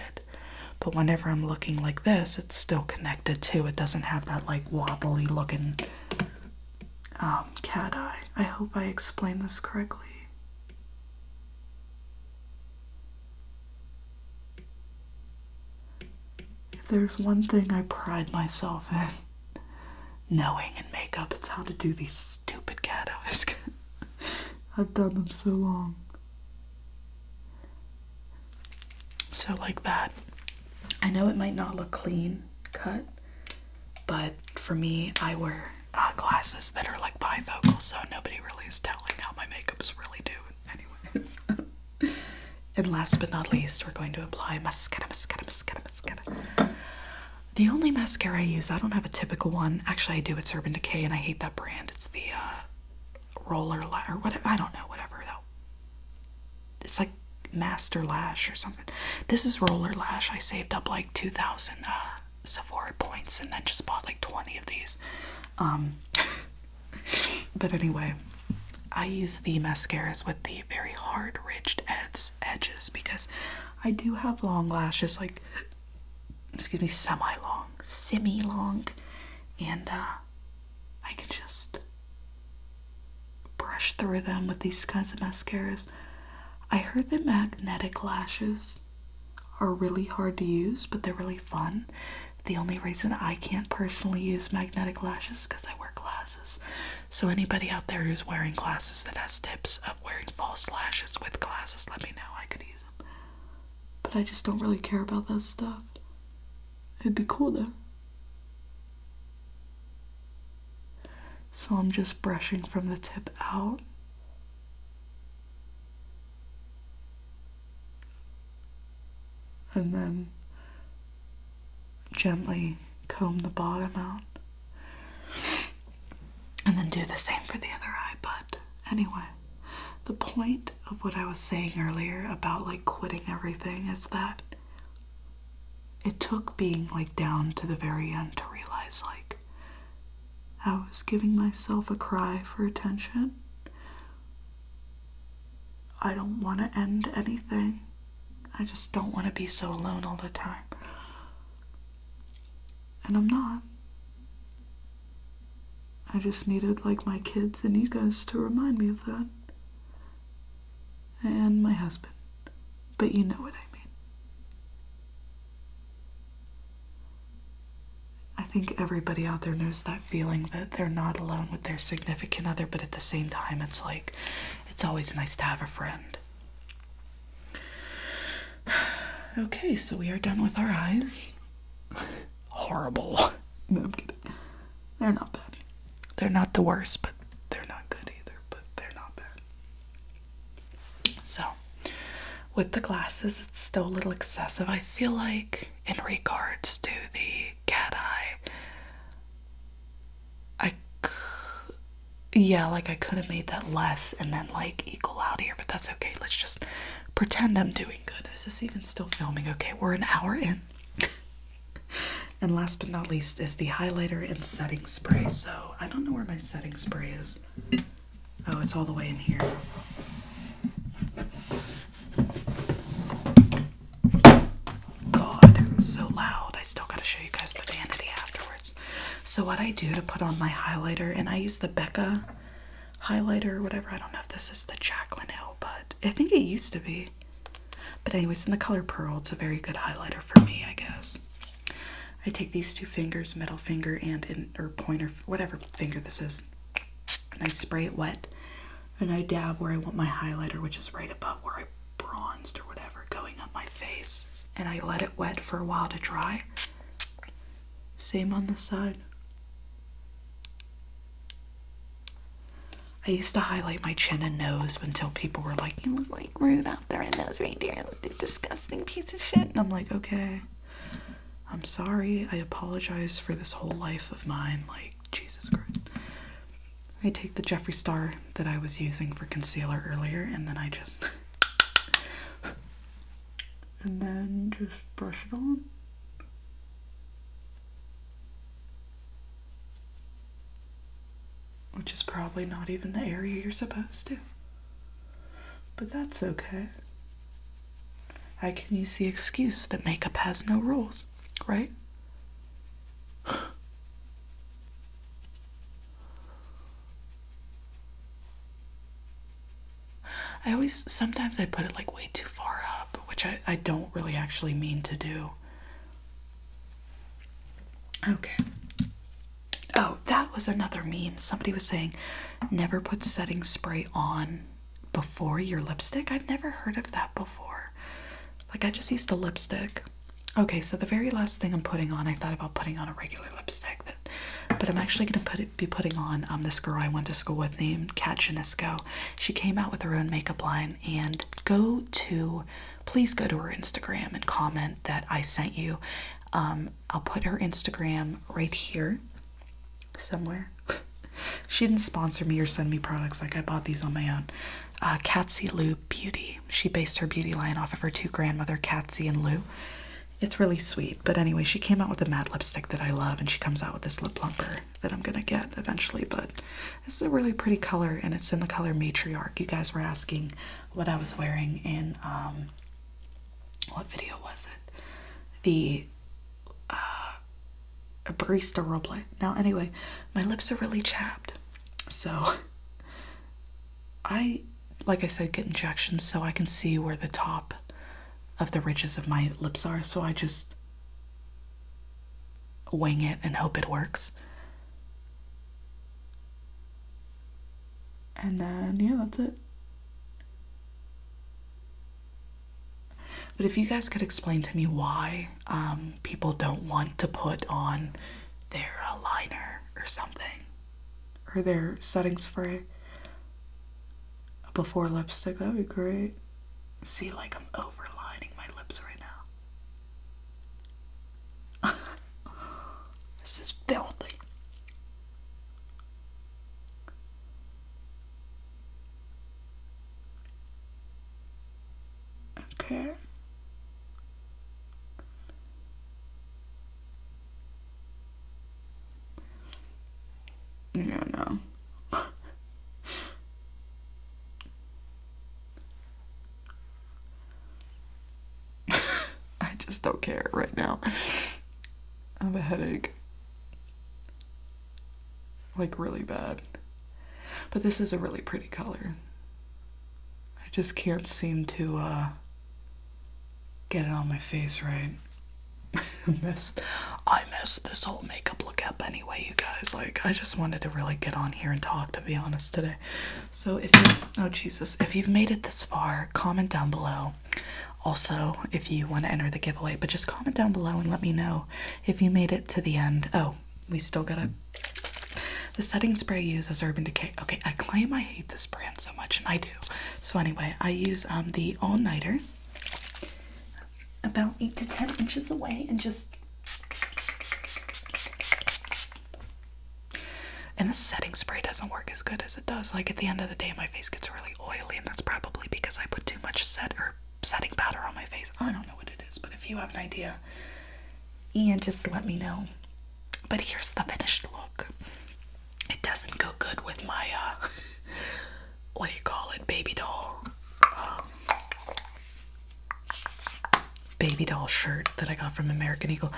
S1: But whenever I'm looking like this, it's still connected too. It doesn't have that like wobbly looking um, cat eye. I hope I explained this correctly. If there's one thing I pride myself in knowing in makeup, it's how to do these stupid cat eyes. I've done them so long. So, like that. I know it might not look clean cut, but for me, I wear uh, glasses that are like bifocal, so nobody really is telling how my makeup's really doing, anyways. and last but not least, we're going to apply mascara, mascara, mascara, mascara. The only mascara I use, I don't have a typical one. Actually, I do. It's Urban Decay, and I hate that brand. It's the uh, Roller Lash, or whatever. I don't know, whatever, It's like Master Lash or something. This is Roller Lash. I saved up like 2,000 uh, Sephora points and then just bought like 20 of these. Um, but anyway, I use the mascaras with the very hard ridged edges because I do have long lashes, like, excuse me, semi long, semi long, and uh, I can just brush through them with these kinds of mascaras. I heard the magnetic lashes are really hard to use, but they're really fun. The only reason I can't personally use magnetic lashes because I wear glasses. So, anybody out there who's wearing glasses that has tips of wearing false lashes with glasses, let me know. I could use them. But I just don't really care about that stuff. It'd be cool though. So, I'm just brushing from the tip out and then gently comb the bottom out and then do the same for the other eye but anyway the point of what i was saying earlier about like quitting everything is that it took being like down to the very end to realize like I was giving myself a cry for attention. I don't want to end anything. I just don't want to be so alone all the time. And I'm not. I just needed, like, my kids and you guys to remind me of that. And my husband. But you know what I mean. I think everybody out there knows that feeling that they're not alone with their significant other, but at the same time, it's like it's always nice to have a friend. Okay, so we are done with our eyes. Horrible. No, I'm kidding. They're not bad. They're not the worst, but they're not good either, but they're not bad. So, with the glasses, it's still a little excessive. I feel like, in regards to the cat eye, I yeah, like I could have made that less and then like equal out here, but that's okay. Let's just pretend I'm doing good. Is this even still filming? Okay, we're an hour in. and last but not least is the highlighter and setting spray. So I don't know where my setting spray is. Oh, it's all the way in here. God, so loud. I still gotta show you guys the vanity afterwards. So what I do to put on my highlighter, and I use the Becca highlighter or whatever. I don't know if this is the Jacqueline Hill, but I think it used to be. But anyways, in the color Pearl, it's a very good highlighter for me, I guess. I take these two fingers, middle finger and or pointer whatever finger this is, and I spray it wet, and I dab where I want my highlighter, which is right above where I bronzed or whatever, going up my face, and I let it wet for a while to dry. Same on the side. I used to highlight my chin and nose until people were like, You look like Ruth out there, and nose right there, the disgusting piece of shit. And I'm like, Okay. I'm sorry, I apologize for this whole life of mine. Like, Jesus Christ. I take the Jeffree Star that I was using for concealer earlier and then I just. and then just brush it on. Which is probably not even the area you're supposed to. But that's okay. I can use the excuse that makeup has no rules, right? I always, sometimes I put it like way too far up, which I, I don't really actually mean to do. Okay. Oh, that was another meme. Somebody was saying, never put setting spray on before your lipstick. I've never heard of that before. Like, I just used the lipstick. Okay, so the very last thing I'm putting on, I thought about putting on a regular lipstick, but I'm actually going to put it, be putting on um, this girl I went to school with named Kat Janisco. She came out with her own makeup line, and go to, please go to her Instagram and comment that I sent you. Um, I'll put her Instagram right here somewhere. she didn't sponsor me or send me products, like I bought these on my own. Uh, Lou Beauty. She based her beauty line off of her two grandmother, Katsy and Lou. It's really sweet, but anyway, she came out with a matte lipstick that I love, and she comes out with this lip plumper that I'm gonna get eventually. But this is a really pretty color, and it's in the color Matriarch. You guys were asking what I was wearing in um, what video was it? The uh, barista roleplay. Now, anyway, my lips are really chapped, so I, like I said, get injections so I can see where the top of the ridges of my lips are. So I just wing it and hope it works. And then, yeah, that's it. But if you guys could explain to me why um, people don't want to put on their uh, liner or something, or their setting spray before lipstick, that would be great. See, like I'm overlining my lips right now. this is filthy. Okay. No, no. I just don't care right now. I have a headache. Like, really bad. But this is a really pretty color. I just can't seem to uh, get it on my face right. I messed this whole makeup look up anyway, you guys. Like, I just wanted to really get on here and talk, to be honest, today. So, if you, oh Jesus, if you've made it this far, comment down below also, if you want to enter the giveaway, but just comment down below and let me know if you made it to the end. Oh, we still gotta. The setting spray I use is Urban Decay. Okay, I claim I hate this brand so much, and I do. So anyway, I use um the All Nighter, about eight to ten inches away, and just. And the setting spray doesn't work as good as it does. Like at the end of the day, my face gets really oily, and that's probably because I put too much set or setting powder on my face. I don't know what it is, but if you have an idea, yeah, just let me know. But here's the finished look. It doesn't go good with my uh, what do you call it, baby doll, um, baby doll shirt that I got from American Eagle.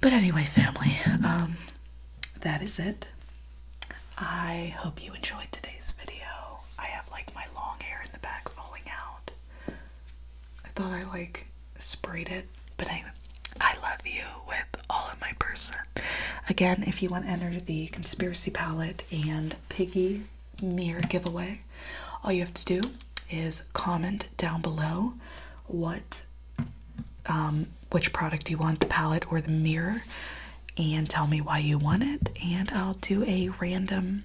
S1: But anyway, family, um, that is it. I hope you enjoyed today's video. I have like my long hair in the back falling out. I thought I like sprayed it, but anyway, I love you with all of my person. Again, if you want to enter the conspiracy palette and piggy mirror giveaway, all you have to do is comment down below what um, which product you want, the palette or the mirror, and tell me why you want it. And I'll do a random,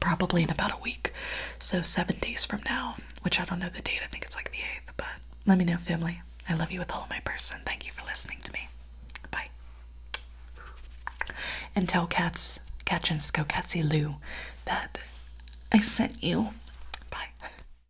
S1: probably in about a week. So seven days from now, which I don't know the date. I think it's like the 8th, but let me know, family. I love you with all my person. Thank you for listening to me. Bye. And tell Cats, catch and Catchinsko, Catsy Lou that I sent you. Bye.